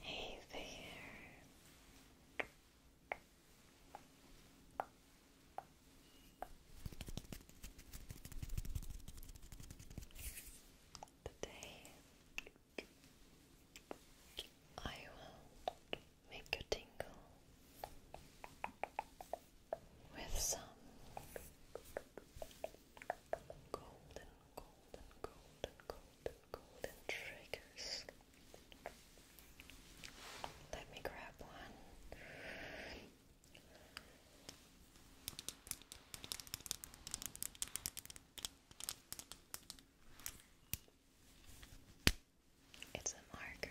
Hey there. Today I will make you tingle with some golden, golden, golden, golden, golden, golden triggers. Let me grab one. It's a marker.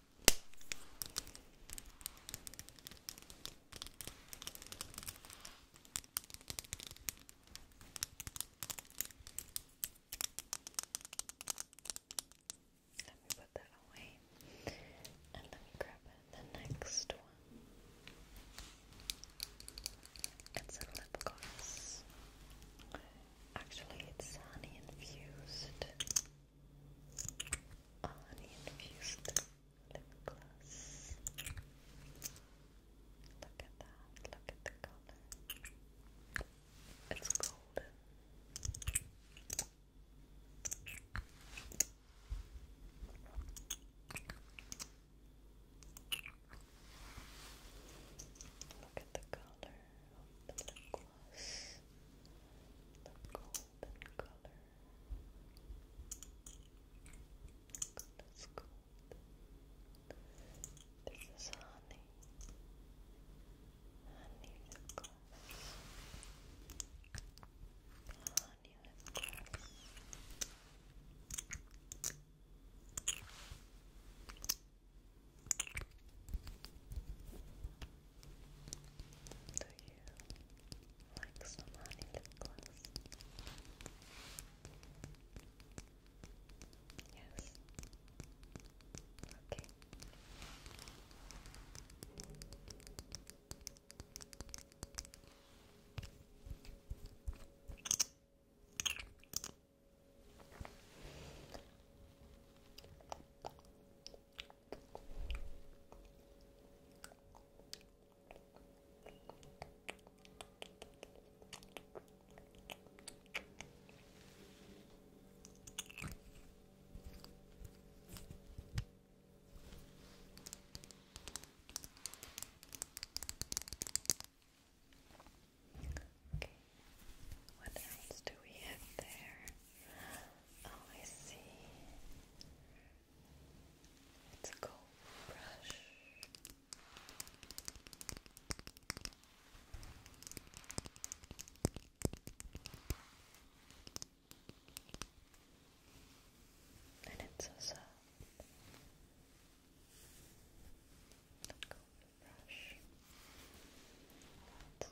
Let me put that away and let me grab the next one. It's a lip gloss. Actually, it's honey infused uninfused lip gloss. Look at that, look at the color. It's golden. Look at the color of the gloss. The gold golden color. Goodness, gold. This is honey. Honey lip Honey lip do you like some honey lip Yes. Okay. Okay, what else do we have there? Oh, I see. It's a gold brush. And it's so soft. gold brush.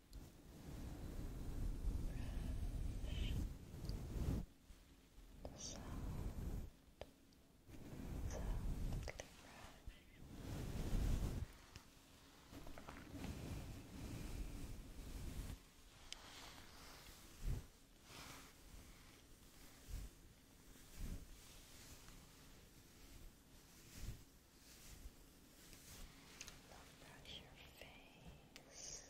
brush soft, softly brush your face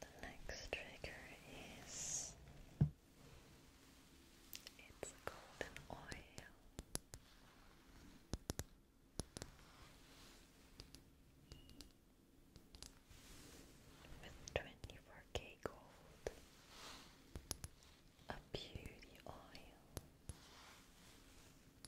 The next trigger is it's golden oil. 24k gold, a beauty oil,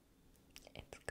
It's cold. Good.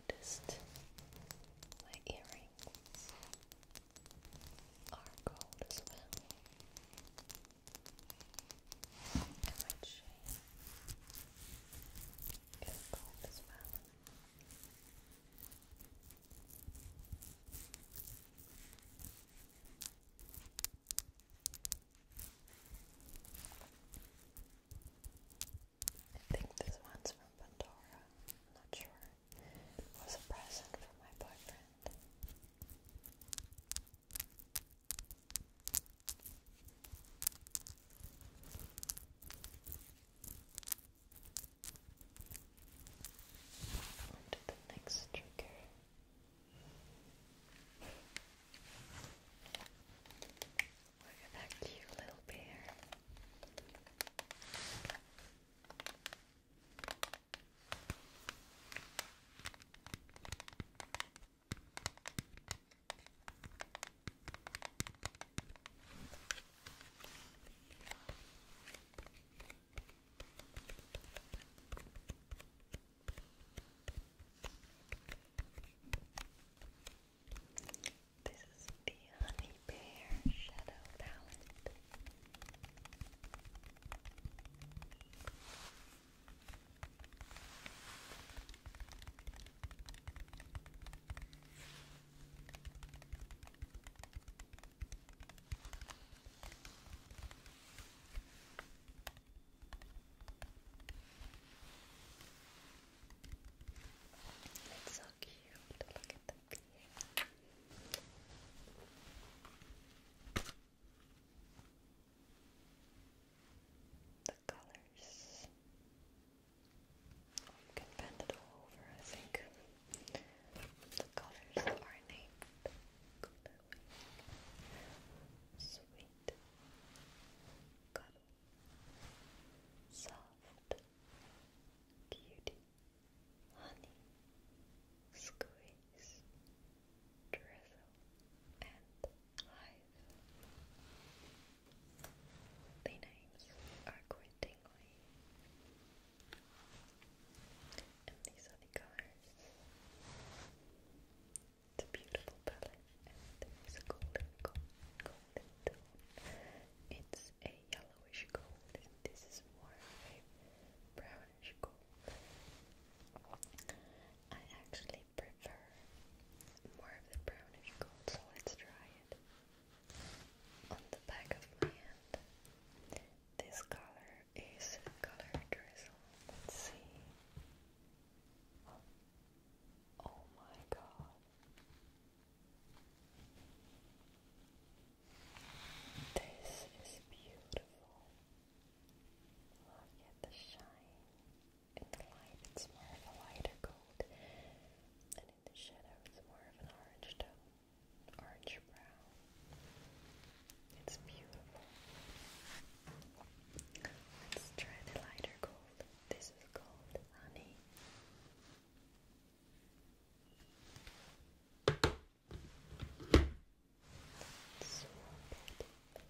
noticed my earrings are gold as well. And my chain is gold as well. I think this one's from Pandora. not sure. was a present from my boyfriend. On the next trigger. Look at that cute little bear. This is the Honey Bear Shadow Palette. It's so cute. Look at the beard. The colors. Oh, you can bend it all over, I think. The colors are named. Sweet soft beauty honey squeeze drizzle and hive the names are and these are the colors it's a beautiful palette and it's a golden, golden, golden tone. It's a yellowish gold and this is more of a brownish gold. I actually prefer more of the brownish gold, so let's try it. On the back of my hand, this color is color drizzle. Let's see. Oh my God. This is beautiful. Look at the shine in the light. It's more of a lighter gold, and in the shadow, it's more of an orange tone, orange brown. It's beautiful. Let's try the lighter gold. This is called honey. So oh my.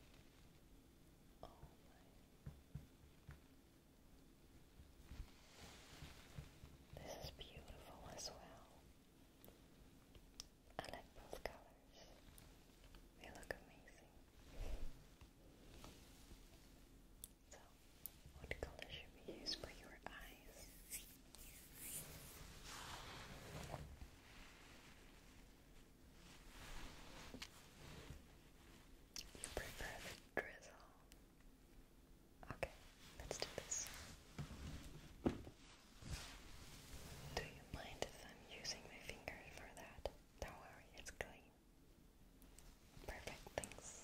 This is beautiful as well. I like both colors. They look amazing. So, what color should we use for your eyes? You prefer drizzle? Okay, let's do this. Do you mind if I'm using my finger for that? Don't worry, it's clean. Perfect, thanks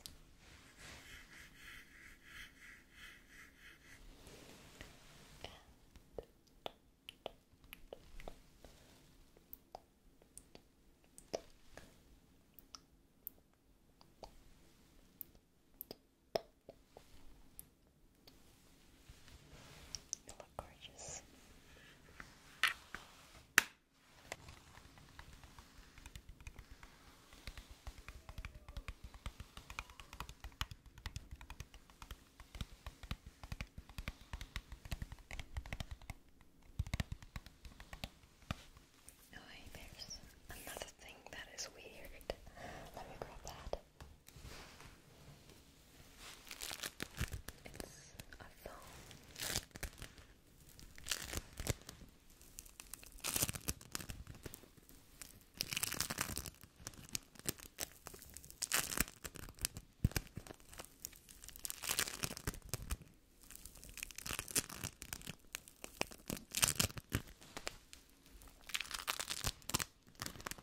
gorgeous. Oh, hey, there's another thing that is weird. Let me grab that. It's a phone.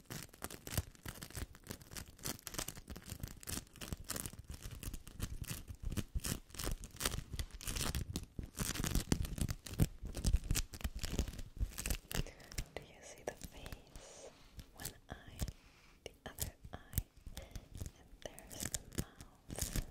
Do you see the face? One eye, the other eye, and there's the mouth.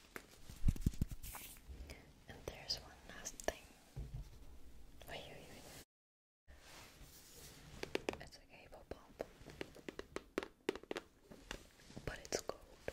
And there's one last thing. Wait, wait, wait. It's a cable pop. But it's gold.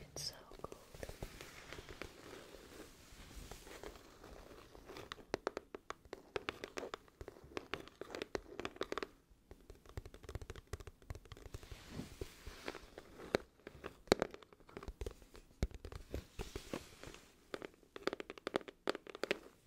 It's so cold.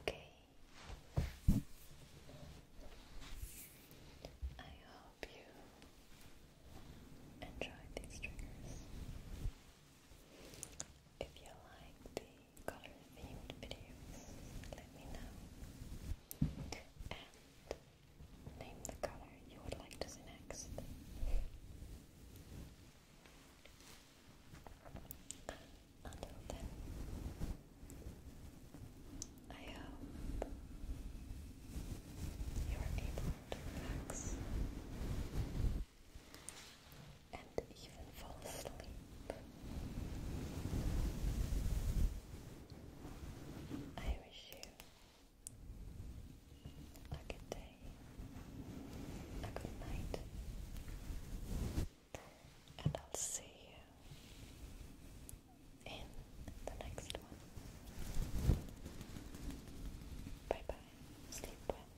Okay. I hope you enjoyed these triggers. If you like the color themed videos, let me know. And name the color you would like to see next. Until then, I hope you are able to relax and even fall asleep. I wish you a good day day, a good night, and I'll see you in the next one. Bye bye. Sleep well.